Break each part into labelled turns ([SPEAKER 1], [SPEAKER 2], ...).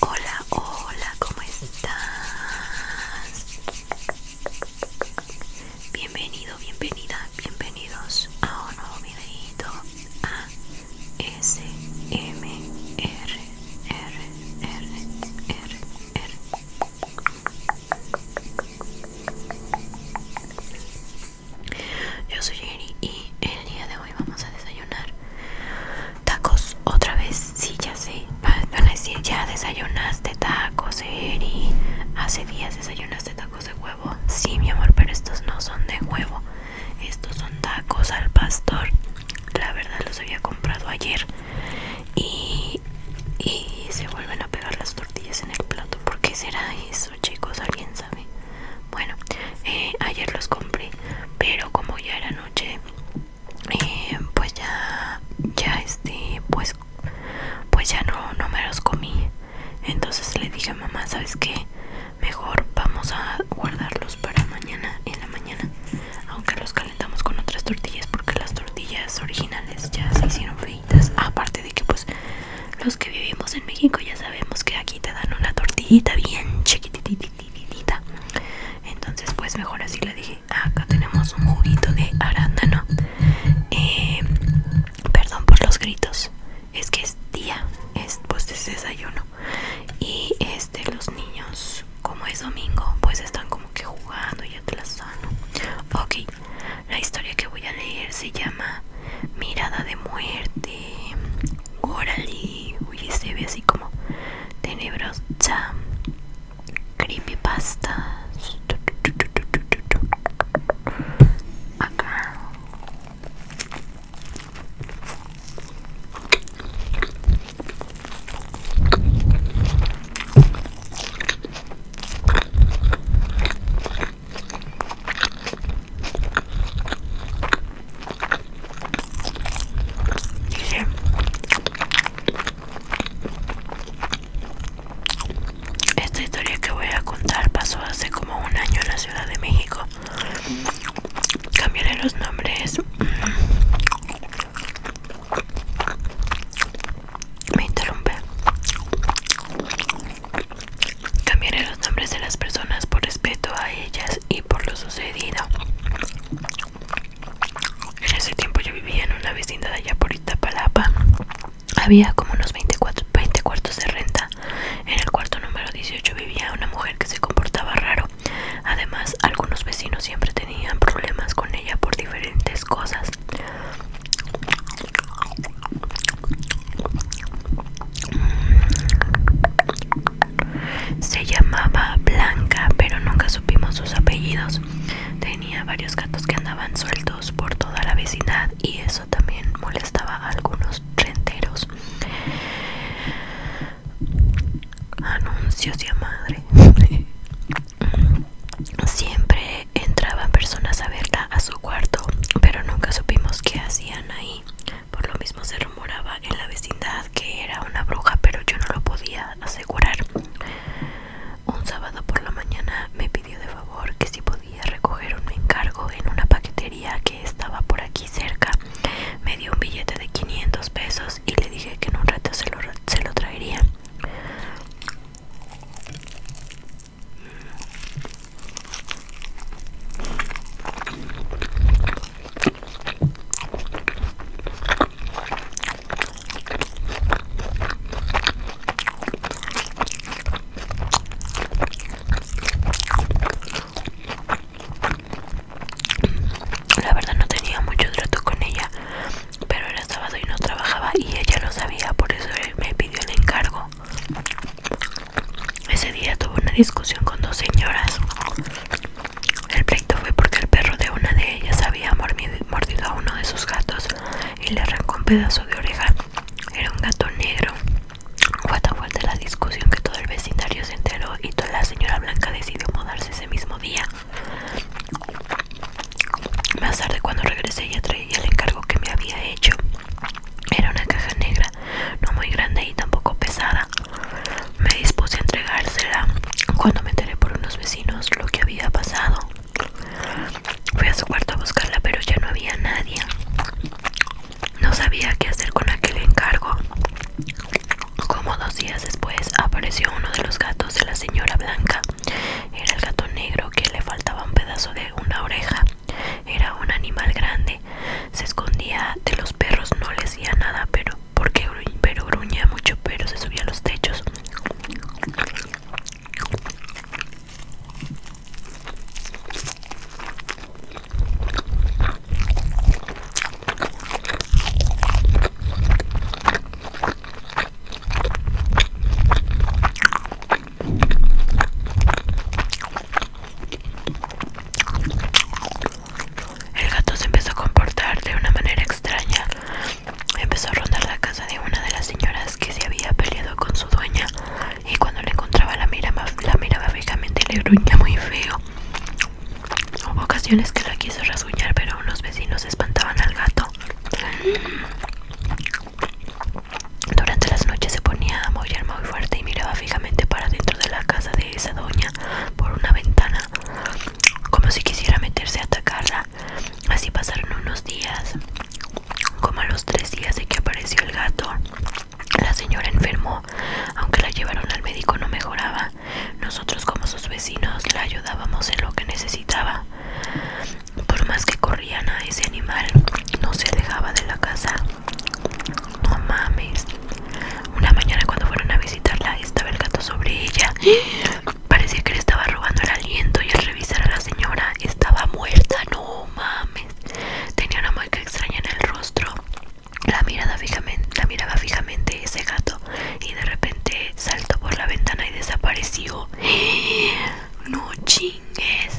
[SPEAKER 1] Hola, hola, ¿cómo estás? Bienvenido, bienvenida, bienvenidos a un nuevo videito a S Yo soy Jenny y el día de hoy vamos a desayunar Tacos, otra vez, sí, ya sé. Ah, van a decir, ya desayunaste tacos, Eri. Hace días desayunaste tacos de huevo. Sí, mi amor, pero estos no son de huevo. Estos son tacos al pastor. La verdad, los había comprado ayer. Y, se vuelven a pegar las tortillas en el plato. ¿Por qué será eso, chicos? ¿Alguien sabe? Bueno, eh, ayer los compré, pero como ya era noche, eh, pues ya ya este pues pues ya no no me los comí entonces le dije a mamá sabes qué mejor vamos a guardarlos para mañana en la mañana aunque los calentamos con otras tortillas porque las tortillas originales ya se hicieron feitas aparte de que pues los que vivimos en México ya sabemos que aquí te dan una tortillita bien chiquitita dividida entonces pues mejor así le dije acá tenemos un juguito de arándano eh, perdón por los gritos es que es día es pues desayuno y este los niños como es domingo pues están como que jugando y atrasando ok la historia que voy a leer se llama mirada de muerte órale, uy, se ve así como tenebrosa, creepypastas, acá. Esta historia que voy a contar pasó hace como un año en la Ciudad de México Cambiaré los nombres Me interrumpe Cambiaré los nombres de las personas por respeto a ellas y por lo sucedido. En ese tiempo yo vivía en una vecindad allá por Itapalapa Había como unos 24, 20 cuartos de renta. En el cuarto número 18 vivía una mujer que se comportaba raro. Además, algunos vecinos siempre tenían problemas con ella por diferentes cosas. Se llamaba Blanca, pero nunca supimos sus apellidos. Tenía varios gatos que andaban sueltos por toda la vecindad y eso también molestaba a algunos renteros. Anuncios y a madre. Siempre entraban personas abiertas a su cuarto, pero nunca supimos qué hacían ahí. Por lo mismo se rumoraba en la vecindad que era una bruja, pero yo no lo podía asegurar. Un sábado por la mañana me pidió de favor que si podía recoger un encargo en una paquetería que estaba por aquí cerca. Me dio un billete de 500 pesos y le dije que en un rato se lo, se lo traería. La verdad no tenía mucho trato con ella, pero era sábado y no trabajaba y ella lo sabía, por eso me pidió el encargo. Ese día tuvo una discusión con dos señoras. El pleito fue porque el perro de una de ellas había mordido a uno de sus gatos y le arrancó un pedazo de oreja. Era un gato negro. Fue tan fuerte la discusión que todo el vecindario se enteró y toda la señora Blanca decidió mudarse ese mismo día. Más tarde cuando regresé ya traía el encargo que me había hecho. Era una caja negra, no muy grande y tampoco pesada. Me dispuse a entregársela cuando me enteré por unos vecinos lo que había pasado. Fui a su cuarto a buscarla, pero ya no había nadie. No sabía qué hacer con aquel encargo. Como dos días después apareció uno de los gatos de la señora Blanca. Era el gato negro que le faltaba un pedazo de una oreja. Era un animal grande, se escondía de los perros, no le hacía nada, pero porque pero gruñía mucho, pero se subía a los techos. El gato se empezó a comportar de una manera extraña. Empezó a rondar la casa de una de las señoras que se había peleado con su dueña y cuando le encontraba la miraba, la miraba fijamente y le gruñía muy feo. Hubo ocasiones que la quiso rasguñar, pero unos vecinos espantaban al gato. Durante las noches se ponía a maullar muy fuerte y miraba fijamente para dentro de la casa esa doña por una ventana, como si quisiera meterse a atacarla. Así pasaron unos días. Como a los tres días de que apareció el gato, la señora enfermó. Aunque la llevaron al médico no mejoraba. Nosotros como sus vecinos la ayudábamos en lo que necesitaba. Por más que corrían a ese animal, no se alejaba de la casa. No mames. Una mañana cuando fueron a visitarla estaba el gato sobre ella. Parecía que le estaba robando el aliento y al revisar a la señora estaba muerta. No mames. Tenía una mueca extraña en el rostro. La, mirada fijamente, la miraba fijamente ese gato y de repente saltó por la ventana y desapareció. No chingues.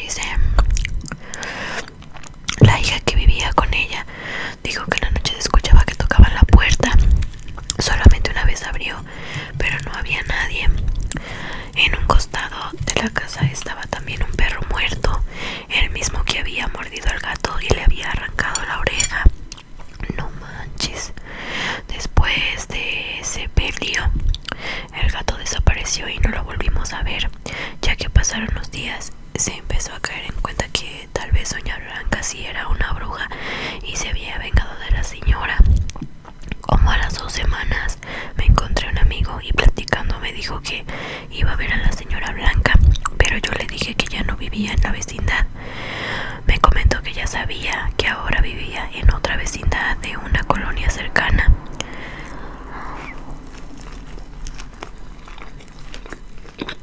[SPEAKER 1] Dice la hija que vivía con ella dijo que en la noche se escuchaba que tocaba la puerta Solamente una vez abrió, pero no había nadie. En un costado de la casa estaba también un perro muerto, el mismo que había mordido al gato y le había arrancado la oreja. No manches. Después de ese peligro, el gato desapareció y no lo volvimos a ver. Ya que pasaron los días, se empezó a caer en cuenta que tal vez Doña Blanca si era una bruja y se había vengado de la señora. Como a las dos semanas me encontré un amigo y platicando me dijo que iba a ver a la señora Blanca, pero yo le dije que ya no vivía en la vecindad. Me comentó que ya sabía que ahora vivía en otra vecindad de una colonia cercana.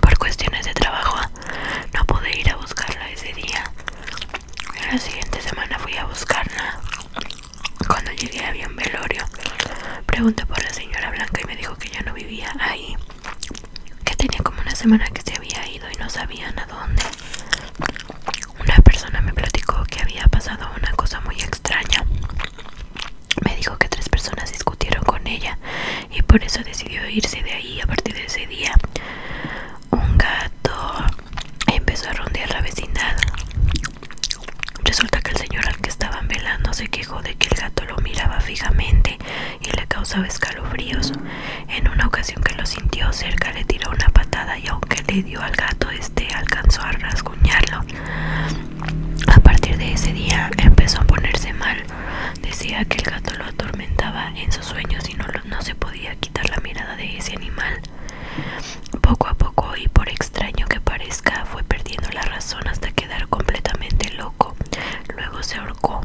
[SPEAKER 1] Por cuestiones de trabajo no pude ir a buscarla ese día. La siguiente semana fui a buscarla. Cuando llegué había un velorio. Pregunté por la señora Blanca y me dijo que ya no vivía ahí que tenía como una semana que se había ido y no sabían a dónde. Una persona me platicó que había pasado una cosa muy extraña. Me dijo que tres personas discutieron con ella y por eso decidió irse de ahí a partir de ese día. Un gato empezó a rondear la vecindad. Resulta que el señor al que estaban velando se quejó de que el gato lo miraba fijamente y le causaba escalofríos. En una ocasión que lo sintió cerca le tiró una patada y aunque le dio al gato, este alcanzó a rasguñarlo. A partir de ese día empezó a ponerse mal. Decía que el gato lo atormentaba en sus sueños y no, no se podía quitar la mirada de ese animal. Poco a poco y por extraño que parezca fue perdiendo la razón hasta quedar completamente loco. Luego se ahorcó.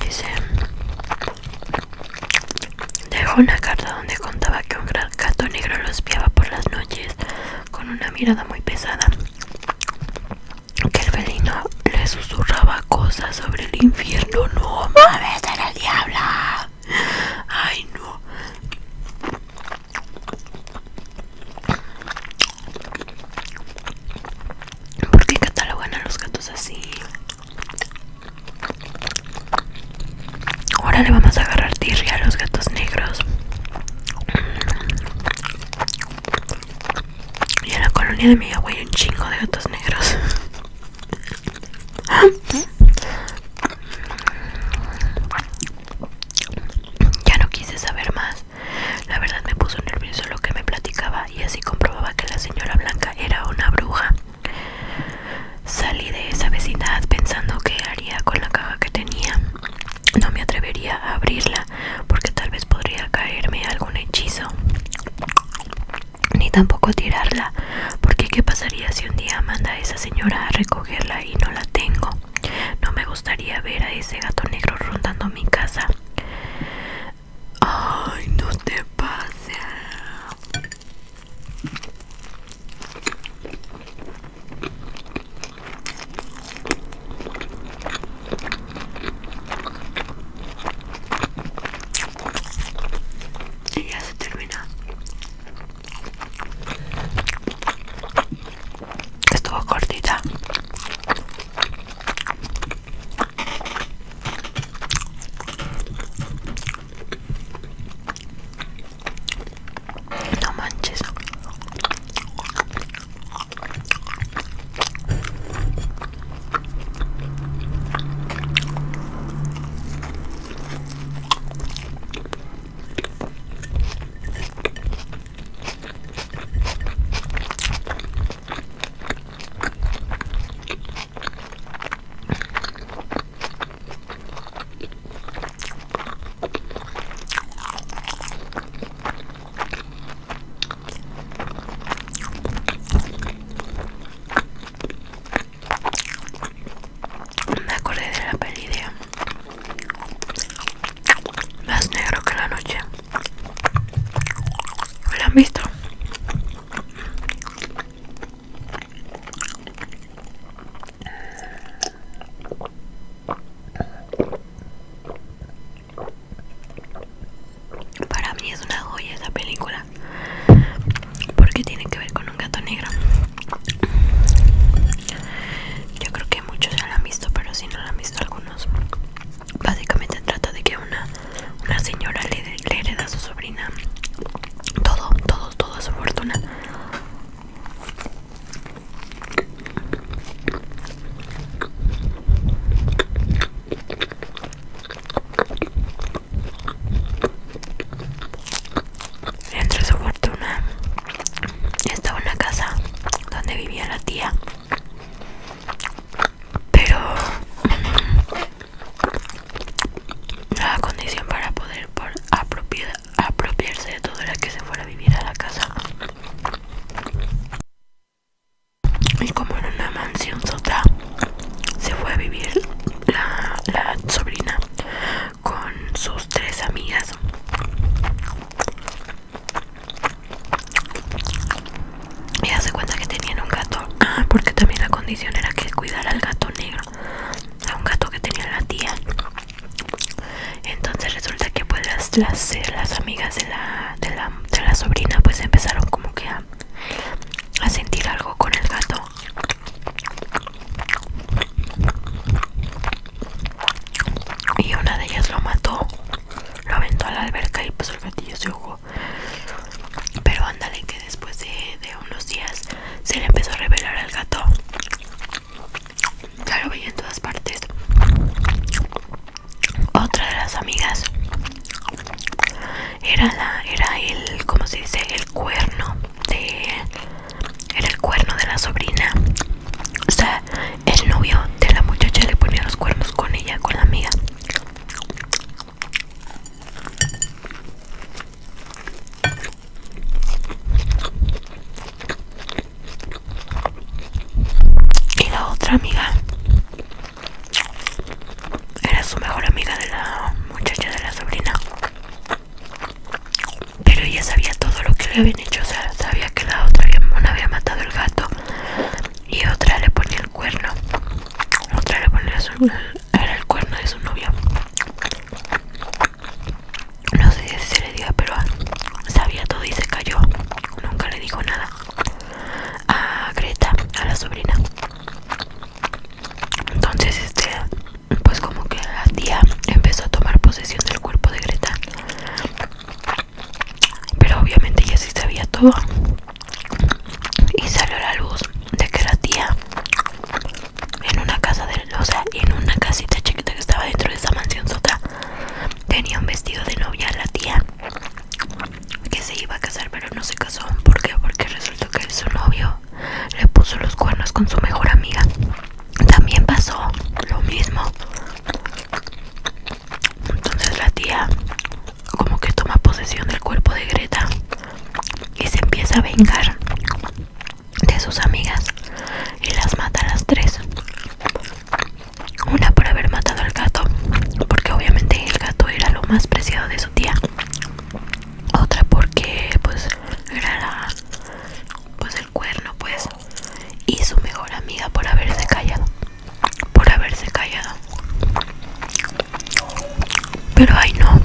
[SPEAKER 1] Dice, dejó una carta donde contaba que un gran gato negro lo espiaba por las noches con una mirada muy pesada, que el felino le susurraba cosas sobre el infierno. No mames, era el diablo. Ay no. ¿Por qué catalogan a los gatos así? Ahora le vamos a agarrar tirria a los gatos negros. Y en la colonia de mi hay un chingo de gatos negros. Ya no quise saber más. La verdad me puso nervioso lo que me platicaba y así comprobaba que la señora Blanca era una bruja. Salí de esa vecindad pensando que haría con la caja que tenía. No me atrevería a abrirla porque tal vez podría caerme algún hechizo. Ni tampoco tirarla, porque qué pasaría si un día manda esa señora a recogerla y no la tengo. No me gustaría ver a ese gato negro rondando mi casa. Ay, no te pase. Y ya se termina. Estuvo cortita. No manches. Me acordé de la peli de más negro que la noche. ¿Lo han visto? Para mí es una joya esa película porque tiene que ver con un gato negro. Yo creo que muchos ya la han visto, pero si no la han visto algunos. Básicamente trata de que una, una señora le, le hereda a su sobrina todo, todo, toda su fortuna. Entre su fortuna estaba una casa donde vivía la tía. Pero la mm, condición para poder apropiarse de todo era que se fuera a vivir a la casa. Y como era una mansión sotra, se fue a vivir la sobrina con sus tres amigas y hace cuenta que tenían un gato ah, porque también la condición era que cuidara al gato negro a un gato que tenía la tía entonces resulta que pues las, las, eh, amigas de la, de la de la sobrina pues empezaron como que a sentir algo con el gato y una de ellas lo mató, lo aventó a la alberca y pues el gatillo se jugó. Pero ándale que después de, de unos días se le empezó a revelar al gato. Ya lo veía en todas partes. Otra de las amigas era la, era el, ¿cómo se dice? El cuerno de era el cuerno de la sobrina o sea el novio de la muchacha le ponía los cuernos con ella con la amiga y la otra amiga era su mejor amiga de la muchacha de la sobrina pero ella sabía todo lo que le habían hecho, o sea, sabía que la otra había, una había matado el gato y otra le ponía el cuerno, otra le ponía el cuerno de su novio. No sé si se le diga, pero sabía todo y se cayó. Nunca le dijo nada a Greta, a la sobrina. Entonces, este, pues como que la tía empezó a tomar posesión del cuerpo de Greta. Pero obviamente ella sí sabía todo. Y salió a la luz de que la tía en una casa de, o sea, en una casita chiquita que estaba dentro de esa mansión sota, tenía un vestido de novia la tía que se iba a casar, pero no se casó. ¿Por qué? Porque resultó que su novio le puso los cuernos con su mejor amiga. También pasó lo mismo. Entonces la tía como que toma posesión del cuerpo de Greta y se empieza a vengar de sus amigas y las mata a las tres. Una por haber matado al gato, porque obviamente el gato era lo más preciado de su tía. Otra porque pues era la pues el cuerno pues y su mejor amiga por haberse callado por haberse callado pero ay no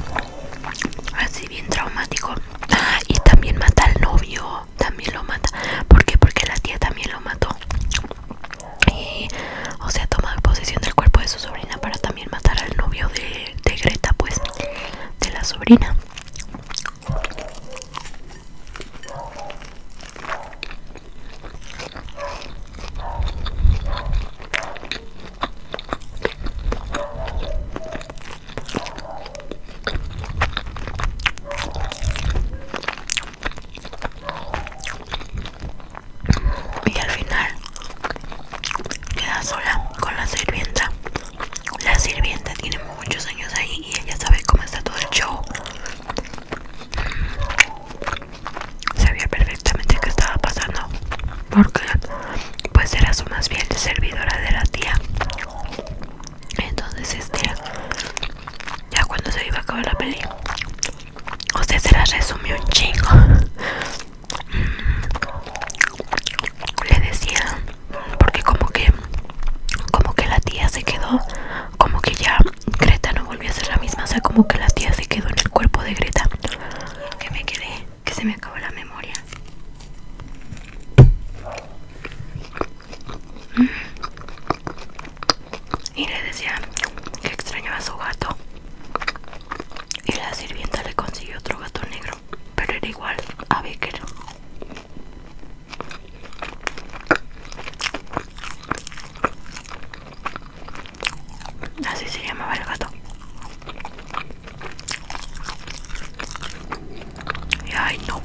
[SPEAKER 1] así bien traumático ah, y también mata al novio también lo mata porque porque la tía también lo mató o sea tomado posesión del cuerpo de su sobrina para también matar al novio de, de Greta pues de la sobrina y al final queda sola con la sirvienta la sirvienta tiene muchos años ahí y ella sabe cómo está todo el show. Sabía perfectamente qué estaba pasando. Porque pues era su más bien servidora de la tía. Entonces este ya cuando se iba a acabar la peli. Usted se la resumió un chingo le decía porque como que como que la tía se quedó como que ya Greta no volvió a ser la misma o sea como que la tía se quedó en el cuerpo de Greta que me quedé que se me acabó la memoria y le decía que extrañaba a su gato y la sirvienta le consiguió otro gato negro pero era igual a Becker. Así se llamaba el gato. Y ay no,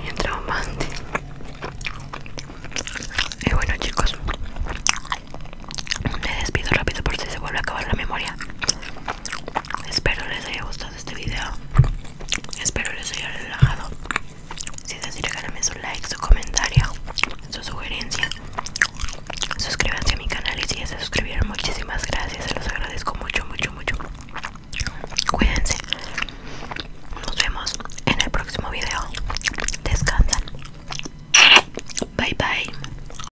[SPEAKER 1] bien traumante. Y bueno chicos, me despido rápido por si se vuelve a acabar la memoria. Espero les haya gustado este video. Espero les haya relajado. Si es así, déjenme su like, su comentario, su sugerencia. Suscríbanse a mi canal y si ya se suscribieron, muchísimas gracias. Se los agradezco mucho, mucho, mucho. Cuídense. Nos vemos en el próximo video. Descansan. Bye bye.